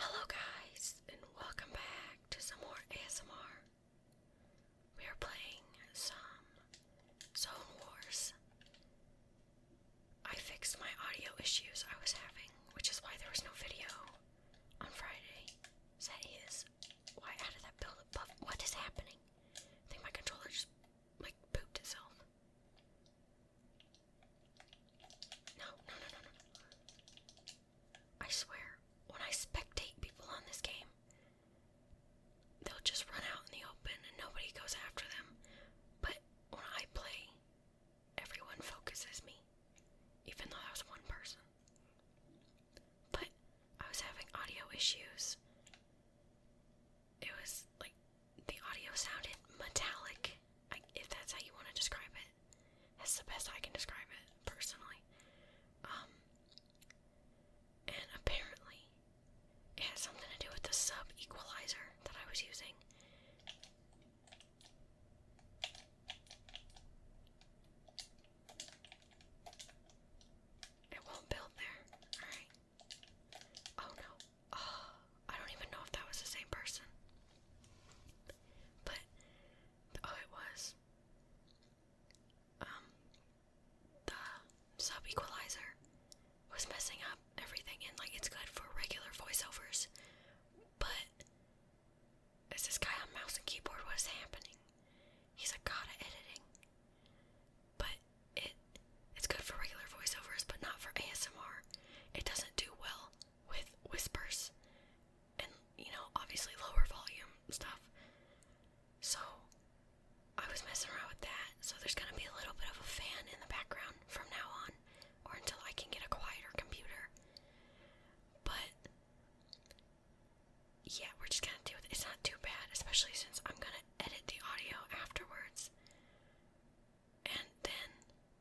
Hello, guys, and welcome back to some more ASMR. We are playing some Zone Wars. I fixed my audio issues I was having, which is why there was no video on Friday. that is why out of that build up. What is happening? I think my controller just like pooped itself. No, no, no, no, no. I swear, when I spectate people on this game, they'll just run out in the open and nobody goes after them. But when I play, everyone focuses me, even though I was one person. But I was having audio issues. It was like the audio sounded metallic, if that's how you want to describe it it. That's the best I can describe it personally. Um, and apparently, it had something to do with the sub equalizer that I was using. It won't build there. Alright. Oh no. I don't even know if that was the same person. But oh, it was. Um, the sub equalizer was messing up everything, and like it's good for regular voiceovers, but this guy on mouse and keyboard? What is happening? He's a god of editing, but it it's good for regular voiceovers, but not for ASMR. It doesn't do well with whispers and, you know, obviously lower volume stuff. So I was messing around with that. So there's going to be a little bit of a fan in the background from now on or until I can get a quieter computer. But yeah, we're just going to do it. It's not too bad, especially since I'm going to edit the audio afterwards. And then,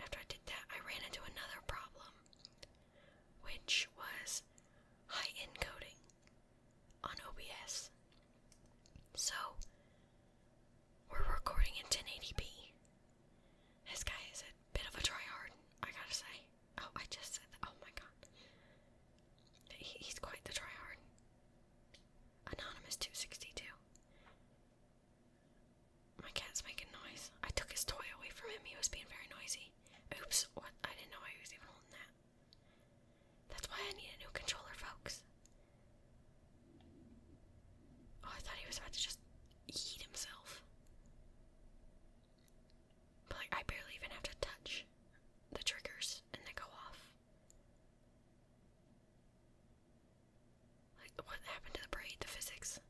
after I did that, I ran into another problem, which was high encoding on OBS. So, we're recording in 1080p. This guy is a bit of a tryhard, I gotta say. Oh, I just said Oh my god. he's quite the tryhard. Anonymous262. My cat's making noise. I took his toy away from him. He was being very noisy. Oops, what? I didn't know I was even holding that. That's why I need a new controller, folks. Oh, I thought he was about to just eat himself. But, like, I barely even have to touch the triggers and they go off. Like, what happened to the braid, the physics?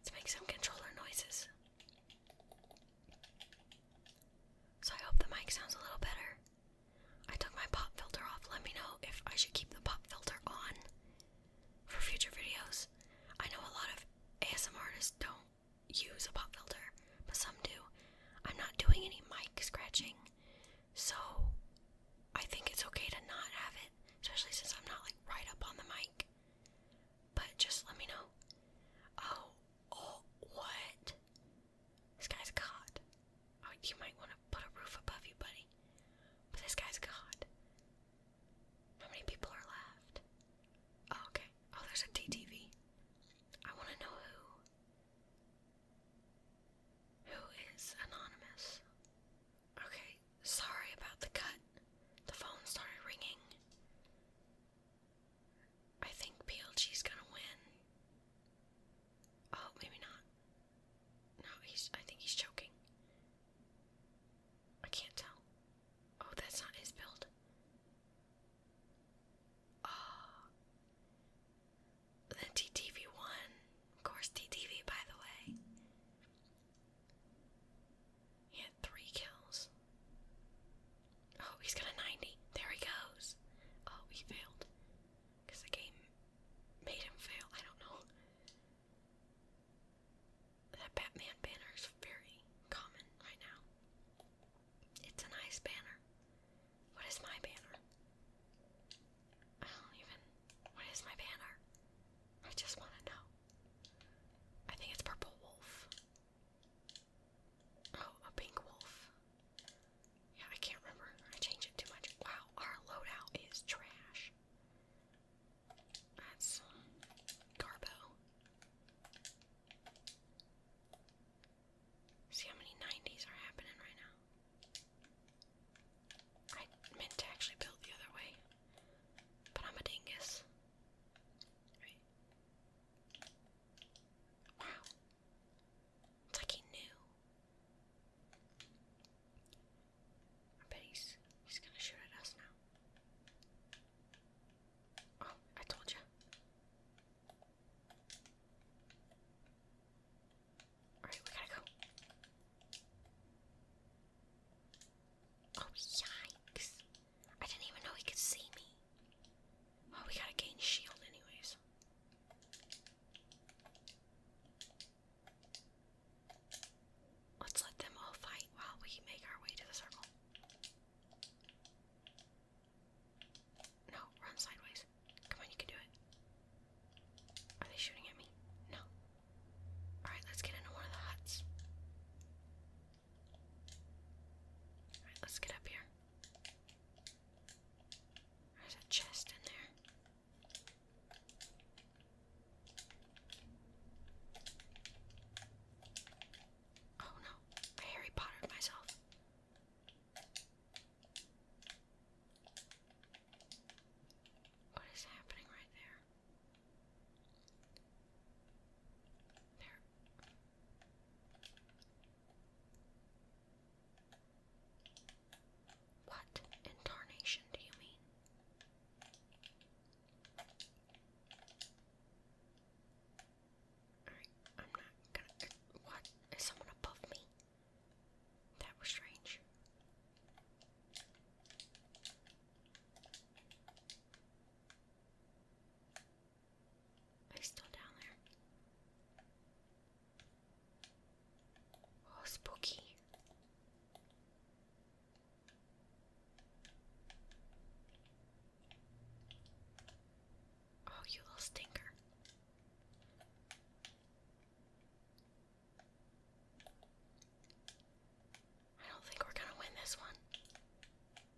Let's make some controller noises. So I hope the mic sounds a little better. I took my pop filter off. Let me know if I should keep the pop filter on for future videos. I know a lot of ASM artists don't use a pop filter, but some do. I'm not doing any mic scratching so I think it's okay to not have it, especially since I'm not like right up on the mic. But just let me know. Oh, oh, what? This guy's God. Oh, you might want to put a roof above you, buddy. But this guy's God. How many people are left? Oh, okay. Oh, there's a DTV. I want to know who. Who is anonymous? Okay, sorry about the cut. The phone started ringing. I think PLG's gonna win. Oh, maybe not. No, he's. I think he's choking. I can't tell. Oh, that's not his build. Oh, then TTV won. Of course, TTV, by the way. He had three kills. Oh, he's got a 90. There he goes. Oh, he failed. Because the game made him fail. I don't know. That Batman banner is very common right now. It's a nice banner. What is my banner? I don't even. What is my banner? I just want to know. I think it's purple wolf. Oh, a pink wolf. Yeah, I can't remember. I change it too much. Wow, our loadout is trash. That's Garbo. See how many 90s are happening right now. I meant to actually build the other way, but I'm a dingus. Wow. It's like he knew. I bet he's, he's gonna shoot at us now. Oh, I told you. Alright, we gotta go. Oh, yikes. I didn't even know he could see me. Oh, we gotta gain shield, anyways. Let's let them all fight while we make our way to the circle. No, run sideways. Come on, you can do it. Are they shooting at me? No. Alright, let's get into one of the huts. Alright, let's get up here. There's a chest in there. Oh no, Harry Pottered myself. What is happening right there? There. What in do you mean? Alright, I'm not gonna. What? Is someone above me? That was strange. He's still down there. Oh, spooky. Oh, you little stinker. I don't think we're gonna win this one.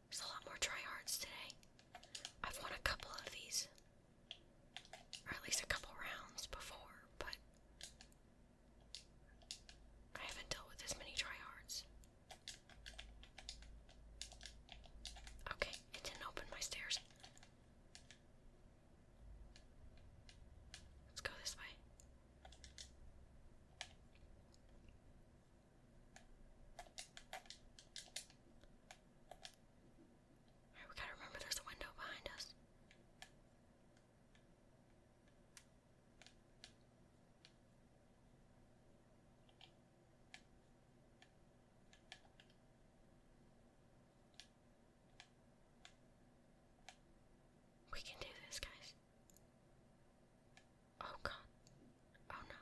There's a lot more tryhards today. I've won a couple of these. Or at least a couple rounds before, but I haven't dealt with this many tryhards. Okay, it didn't open my stairs. Let's go this way. Alright, gotta remember there's a window behind us. We can do this, guys. Oh god. Oh no.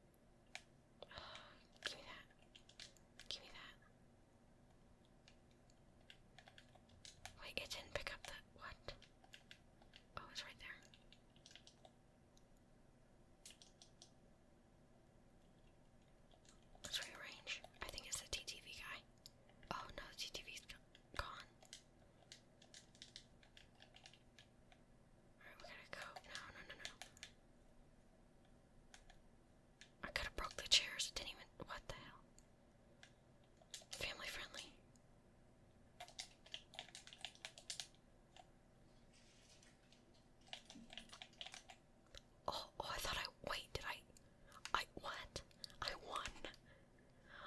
Give me that. Give me that. Wait, it didn't pick up the what? Oh, it's right there. Let's rearrange. I think it's the TTV guy. Oh no, TTV's gone. Alright, we gotta go. No, no, no, no. I could have broke the chairs. It didn't even. What the hell? Family friendly. Oh, oh, I thought I. Wait, did I. I. What? I won.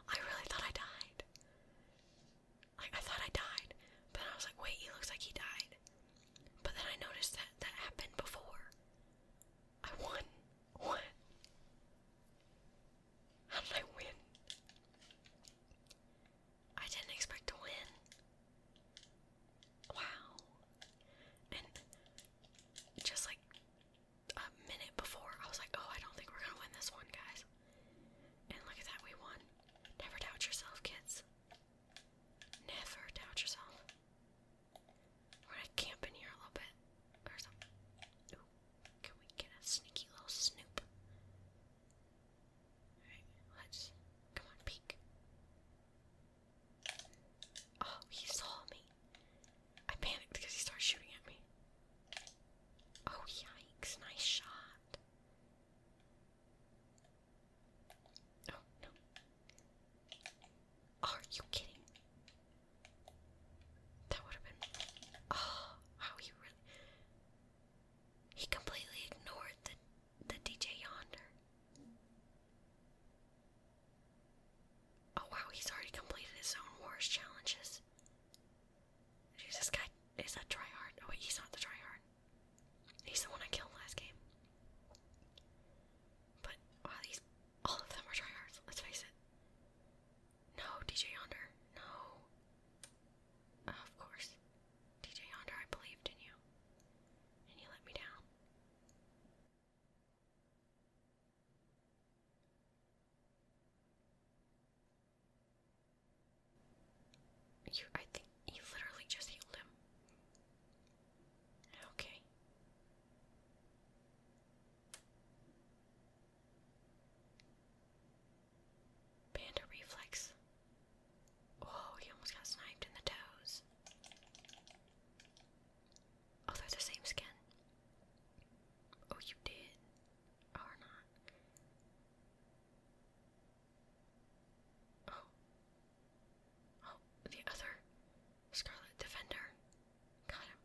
I really thought I died. Like, I thought I died. But I was like, wait, he looks like he died. But then I noticed that that happened before. I won. What? How did I win? I didn't expect to win. Wow. And just like a minute before, I was like, oh, I don't think we're gonna win this one, guys. And look at that, we won. Never doubt yourself, kids. Never doubt yourself. We're gonna camp in here a little bit can we get a sneaky little snoop? Alright, let's come on, peek. Oh, he saw me. I panicked because he started shooting at me. Oh, yikes, nice shot. Oh, no. Are you kidding? That would have been. Oh, how he really. He completely ignored the, the DJ yonder. Oh, wow, he's already completed his own Wars challenges. Dude, this guy is a tryhard. Oh, wait, he's not the tryhard. He's the one I killed last game. But all of them are tryhards. Let's face it. No, DJ Yonder. No. of course, DJ Yonder. I believed in you, and you let me down. You, I think you literally just healed him. Okay. Panda reflex. Oh, he almost got sniped in the toes. Oh, they're the same skin. Oh, you did. Or not. Oh. Oh, the other Scarlet Defender. Got him.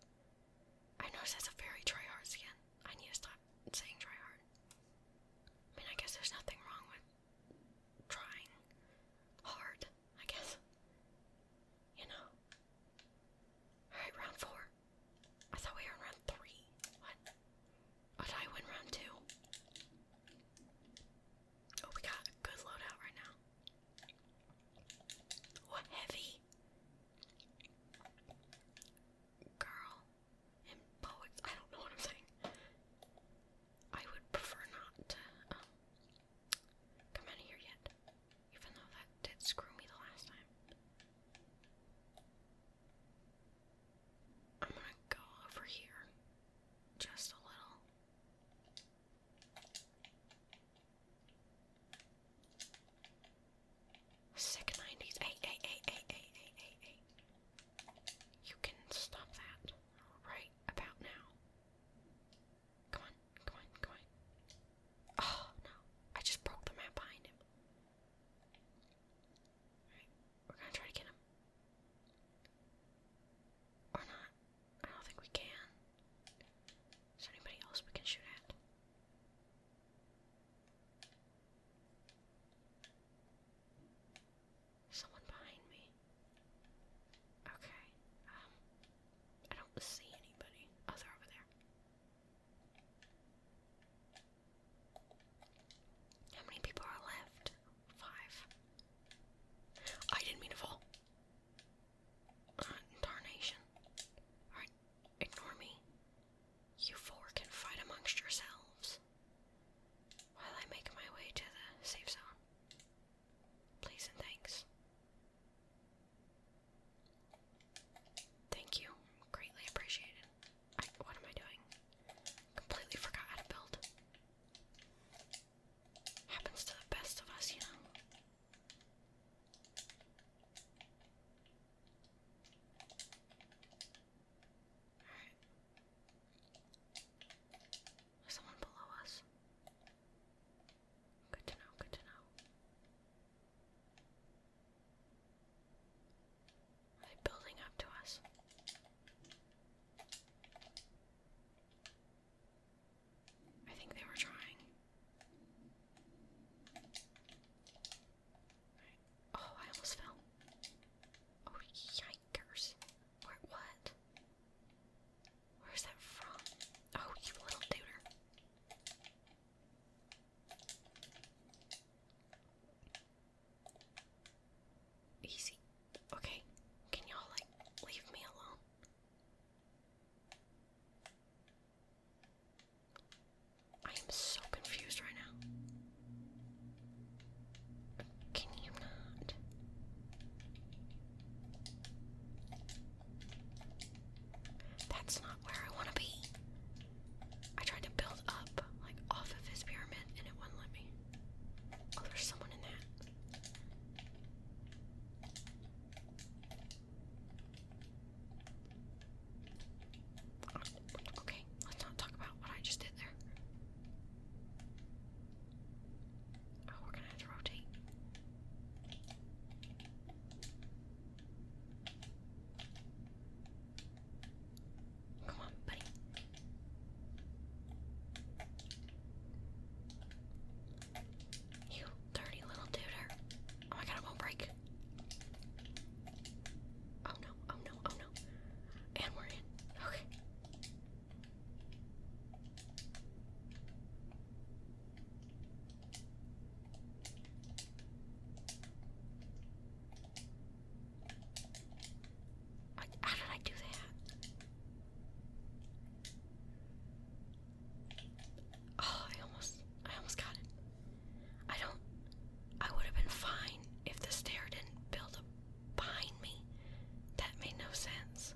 I noticed that's a very tryhard skin. I need to stop saying tryhard. I mean, I guess there's nothing wrong with trying hard, I guess. You know? Alright, round four. I thought we were in round three. What? Oh, I win round two? Oh, we got a good loadout right now. What heavy? Girl. poets. I don't know what I'm saying. I would prefer not to um, come out here yet. Even though that did screw me the last time. I'm gonna go over here just a little. Sick 90s. Hey, hey, hey, hey, hey, hey, hey, You can stop that right about now. Come on, come on, come on. Oh, no. I just broke the map behind him. Alright, we're gonna try to get him. Or not. I don't think we can. Is there anybody else we can shoot at? Someone behind me. Okay. Um, I don't see anybody. Oh, they're over there. How many people are left? five. I didn't mean to fall. Uh, Alright, ignore me. You four can fight amongst yourselves while I make my way to the safe zone. Please and thanks. Thank you. Greatly appreciated. what am I doing? Completely forgot how to build. Happens to the best of us, you know. Alright. There's someone below us. Good to know, good to know they building up to us. I think they were trying. Oh, I almost fell. Oh, yikers. Where, what? Where's that from? Oh, you little duder. Easy. Okay. Can y'all, like, leave me alone? I am so confused right now. Can you not? That's not where I want to be. I tried to build up, like, off of his pyramid and it wouldn't let me. Oh, there's someone in that. Oh, okay, let's not talk about what I just did there. Oh, we're gonna have to rotate. Come on, buddy. You dirty little duder. Oh my god, it won't break. Oh no, oh no, oh no. And we're in. Okay. I, how did I do that? Oh, I almost, I almost got it. I don't. I would have been fine if the stair didn't build up behind me. That made no sense.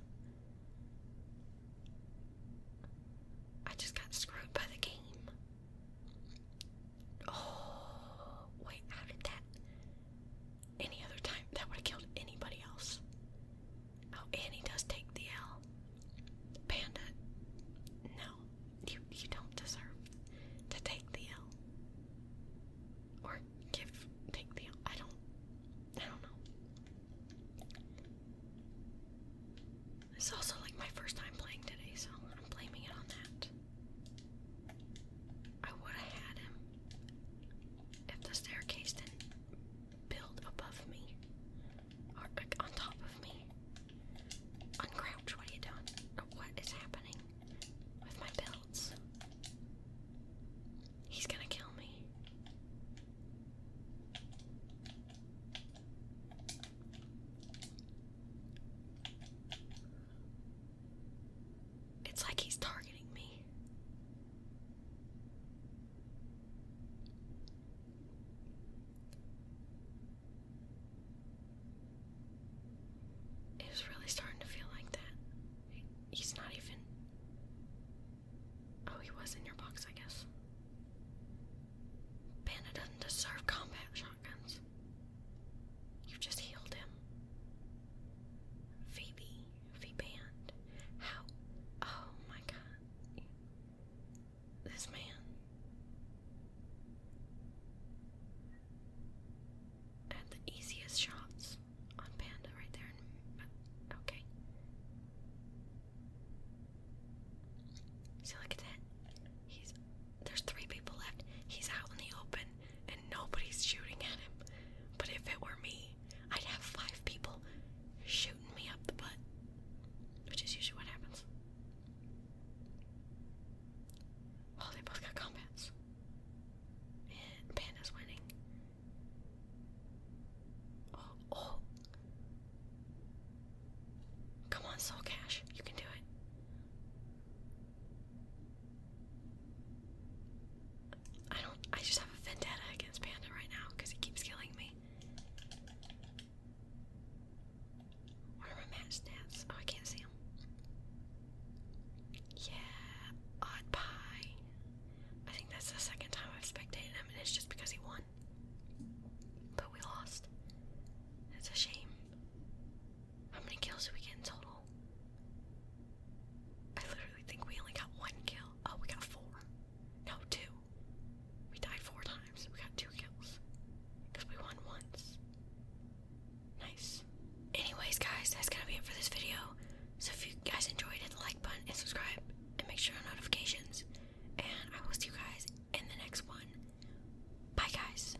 I just got screwed by the game. Oh, wait, how did that? Any other time, that would have killed anybody else. Oh, Annie does take the L. Panda, no, you, you don't deserve to take the L. Or give, take the I do not I don't, I don't know. This is also like my first time playing today, so I'm blaming it on that. I would have had him if the staircase didn't build above me or on top of me. Uncrouch, what you doing? What is happening with my builds? He's gonna kill me. It's like he's targeting me. It really starting to feel like that. He's not even. Oh, he was in your box, I guess. Panda doesn't deserve combat, Sean. You just healed him. Phoebe, V-Band, how, oh my god, this man. Had the easiest shots on Panda right there, okay. See, look at that. He's, there's three people left. He's out in the open and nobody's shooting at him. But if it were me, I'd have five people shooting me up the butt, which is usually what happens. Oh, they both got combats. And Panda's winning. oh. oh. Come on, Soul Cash. You can do it. I don't. I just have a vendetta against Panda right now because he keeps killing me. What are my match stats? Oh, I can't see them. Yeah, odd pie. I think that's the second time I've spectated him, and it's just because he won. But we lost. It's a shame. How many kills did we get in total? I literally think we only got one kill. Oh, we got four. No, two. We died four times. We got two kills. Because we won once. Nice. Anyways, guys, that's gonna be it for this video. So if you guys enjoyed it, like button and subscribe. And make sure on notifications. And I will see you guys in the next one. Bye, guys.